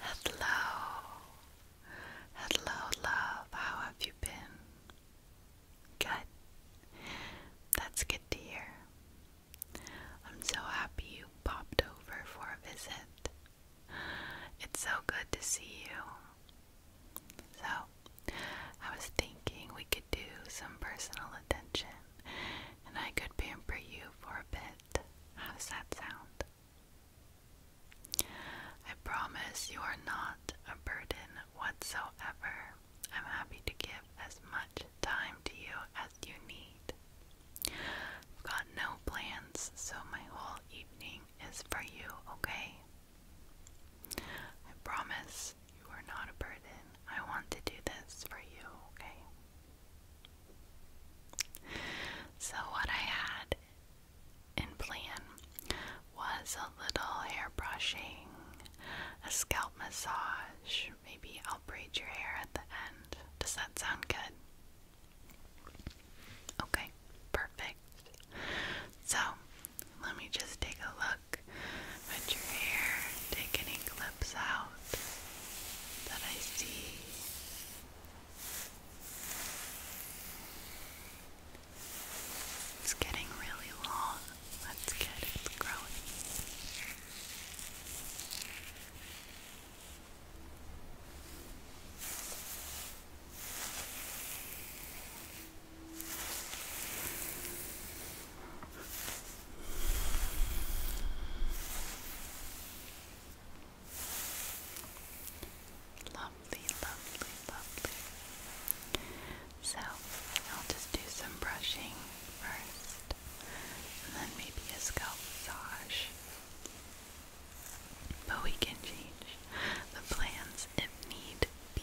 Hello, hello, love. How have you been? Good. That's good to hear. I'm so happy you popped over for a visit. It's so good to see you. So, I was thinking we could do some personal attention and I could pamper you for a bit. How that sound? I promise you are not a burden whatsoever. I'm happy to give as much time to you as you need. I've got no plans, so my whole evening is for you, okay? I promise you are not a burden. I want to do this for you, okay? So, what I had in plan was a little hair brushing, a scalp massage. Maybe I'll braid your hair at the end. Does that sound good? Okay, perfect. So, let me just take a look at your hair. Take any clips out that I see. It's getting really long. That's good. It's growing. Lovely, lovely, lovely. So I'll just do some brushing first, and then maybe a scalp massage. But we can change the plans if need be.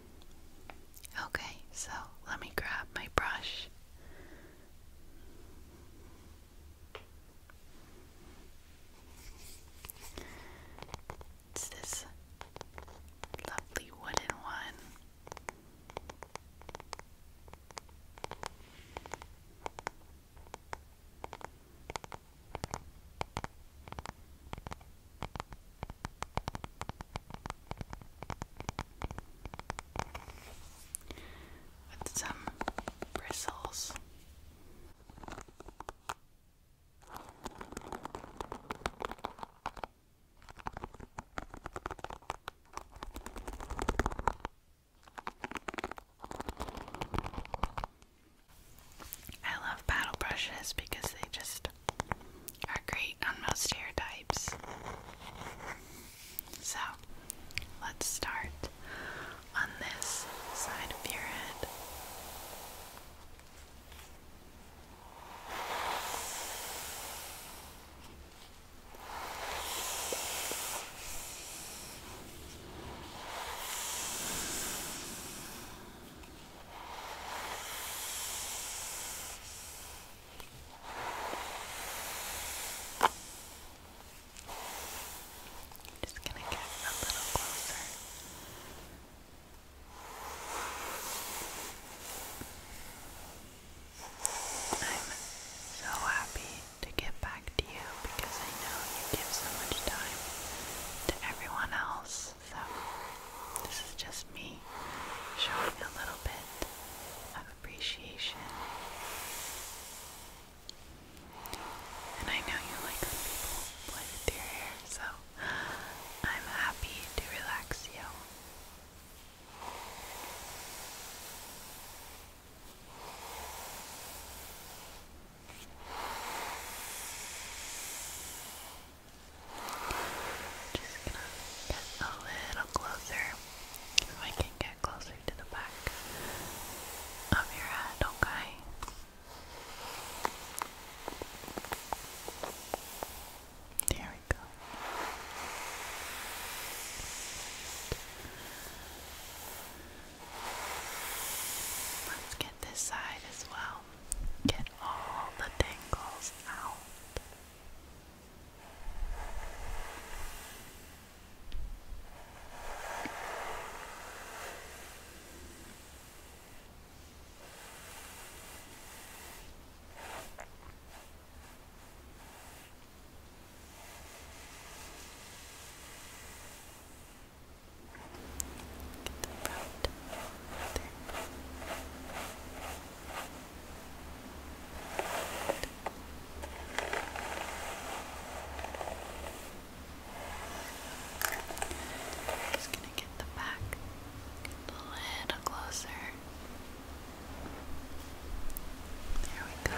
Okay, so let me grab my brush. It's this lovely wooden one with some bristles. I love paddle brushes because they just are great on most hair types. So, let's start on this side of your head i just going to get a little closer. I'm so happy to get back to you because I know you give so much time to everyone else so, this is just me showing a little bit of appreciation. And I know you like when people play with your hair, so I'm happy to relax you. Just gonna get a little closer. If I can get closer to the back of your head, okay? There we go. Let's get this side as well. Get all the tingles out. Get the Just gonna get the back a little closer. There we go.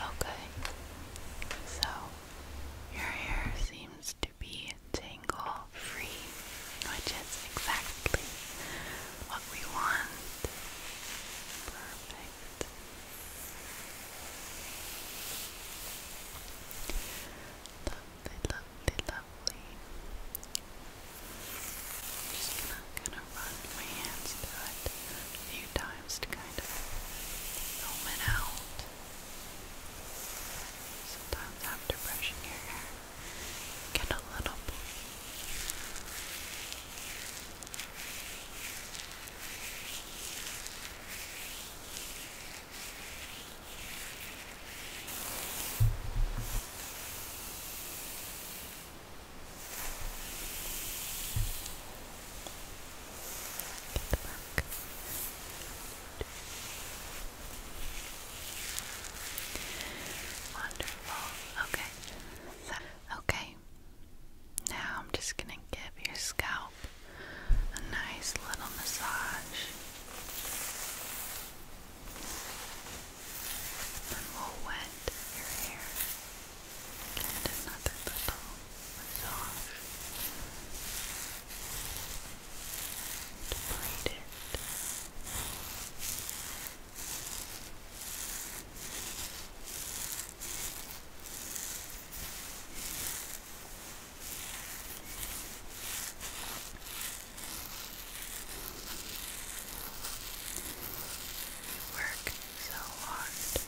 Okay, so your hair seems to be tangle free, which is exactly what we want. Perfect. Lovely, lovely, lovely. I'm just gonna, run my hands through it a few times to kind of foam it out. Sometimes after brushing your hair, get a little Wonderful. Okay. okay. Now I'm just going to give your scalp a nice little massage. Then we'll wet your hair. Get another little massage. And braid it. You work so hard and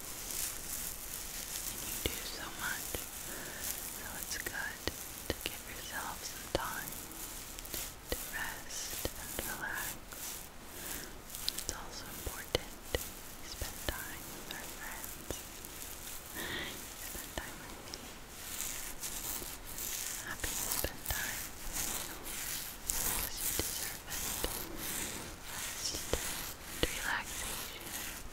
you do so much, so it's good to give yourself some time to rest and relax. It's also important to spend time with our friends. Spend time with happy to spend time with you because you deserve it. Rest and relaxation. Relax.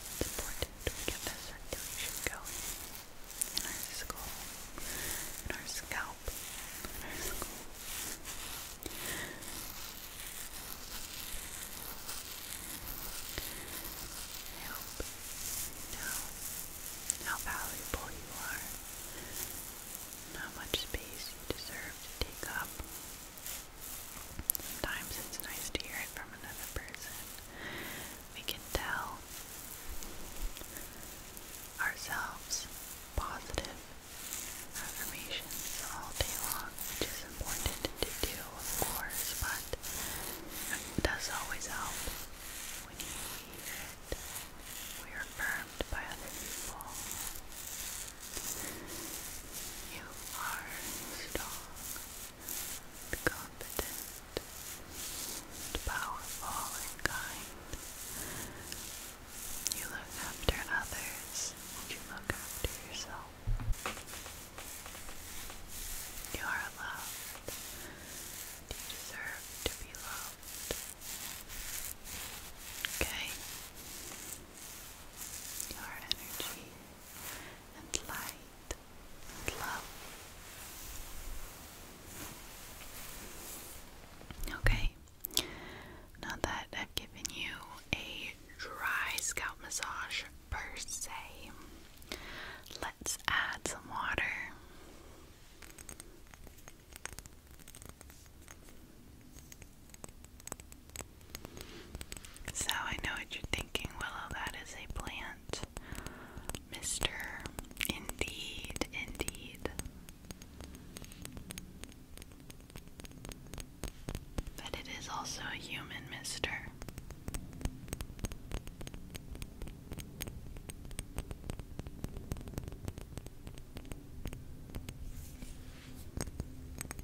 It's important we get the circulation going in our skull, in our scalp, in our skull. I you know how valuable you are and how much space you deserve to take up. Sometimes it's nice to hear it from another person we can tell ourselves positive affirmations all day long, which is important to do, of course, but it does always help when you hear it. We are affirmed by other people. You are strong competent, powerful and kind. You look after others and you look after yourself. You are loved. You deserve to be loved. Okay? Your energy and light love. Okay, now that I've given you a dry scalp massage per se, let's add some water. So I know what you're thinking, Willow, that is a plant. Mr. Indeed, indeed. But it is also a human, Mr.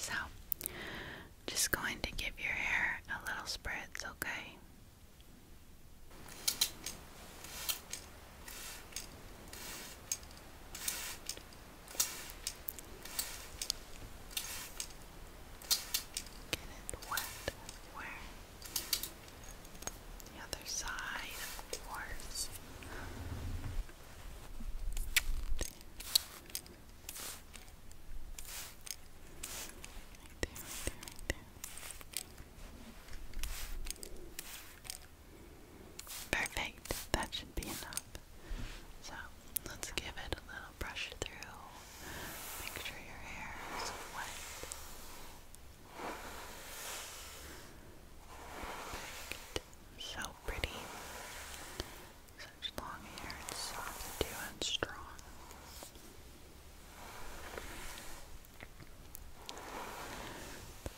So, just going to give your hair a little spritz, okay? Get it wet everywhere. The other side, of course. Right there, right there, right there. Perfect. That should be enough. So let's give it a little brush through. Make sure your hair is wet. Perfect. So pretty. Such long hair. It's soft and strong.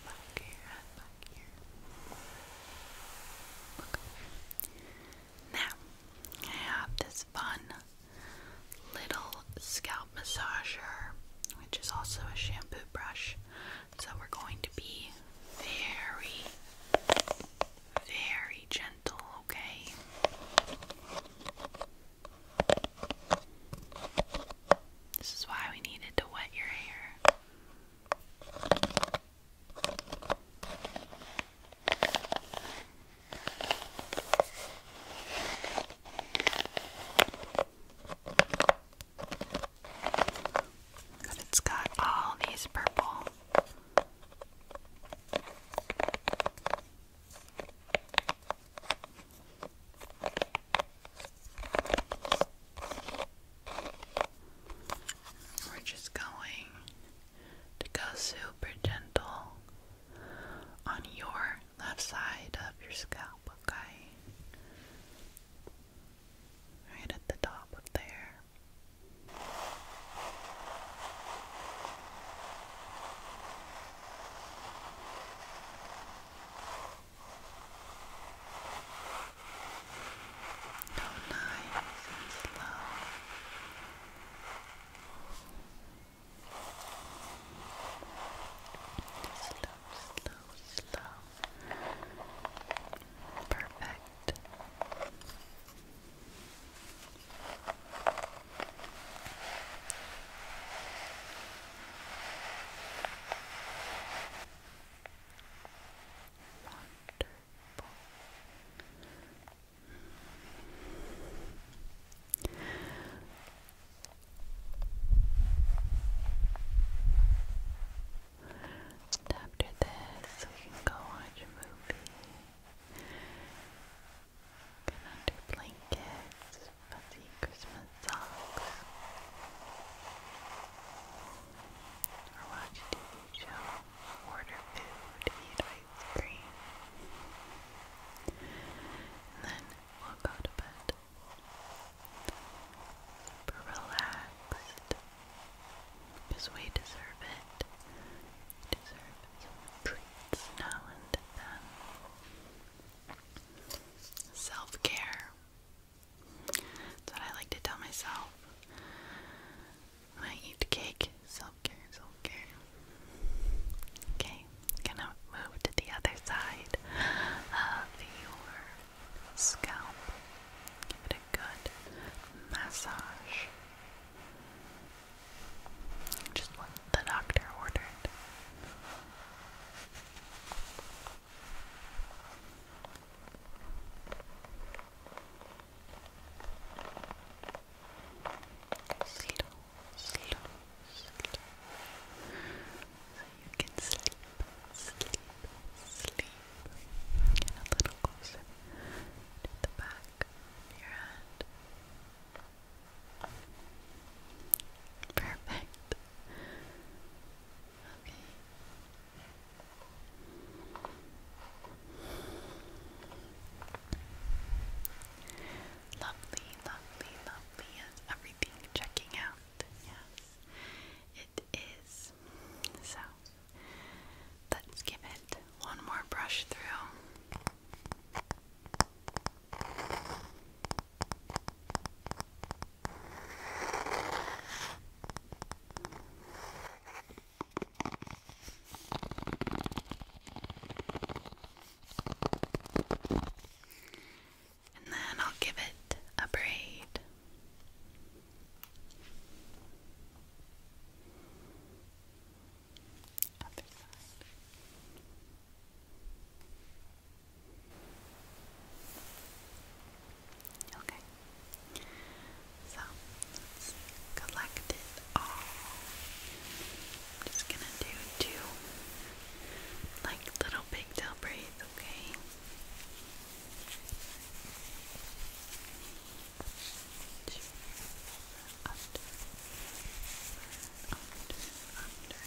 Back here. Now, I have this fun little scalp massager, which is also a shampoo brush. So we're going to be very, very gentle, okay? This is why we needed to wet your hair it's got all these purple. We're just going to go super gentle on your left side of your scalp, okay? Right at the top of there. So nice and slow. Slow, slow, slow. Perfect. And after this, we can go watch a movie. Get under blankets fuzzy Christmas socks or watch TV show, order food, eat ice cream and then we'll to bed relaxed because we deserve it we deserve some treats now and then Self care that's what I like to tell myself I eat cake. Self care, self care. Okay, gonna move to the other side of your scalp. Give it a good massage. Just what the doctor ordered. Slow, slow, slow. So you can sleep, sleep, sleep. Get a little closer to the back of your head. Perfect. Okay. Lovely, lovely, lovely. Is everything checking out? Yes, it is. So let's give it one more brush through. And then I'll give it a braid. Other side. Okay. So let's collect it all. I'm just gonna do two like little pigtail braids, okay? Under, under, under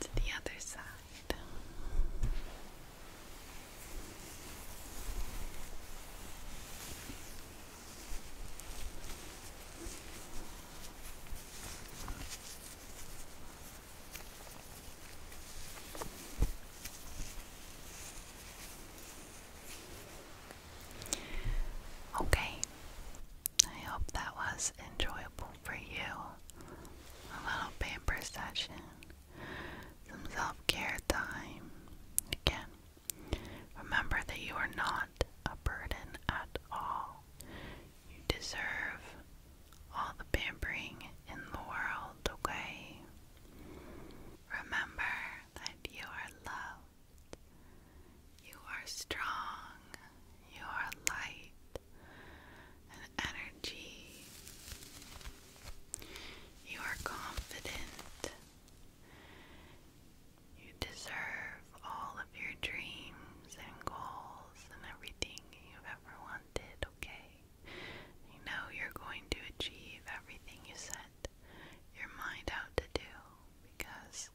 to the other side. Okay, I hope that was enjoyable for you. A little pamper session, some self care time. Again, remember that you are not a burden at all. You deserve all the pampering in the world, okay? Remember that you are loved, you are strong, you are light and energy, you are confident, you deserve all of your dreams and goals and everything you've ever wanted, okay? You know you're going to achieve everything you set your mind out to do because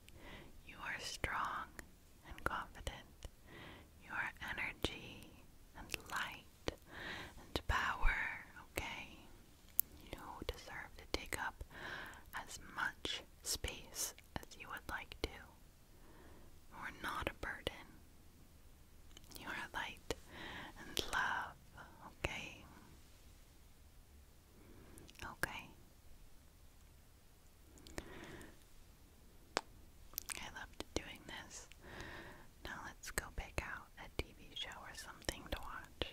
you are strong and confident. You are energy and light and power, okay? You deserve to take up as much space as you would like to. You are not a burden. You are light and love, okay? Okay. I loved doing this. Now let's go pick out a TV show or something to watch.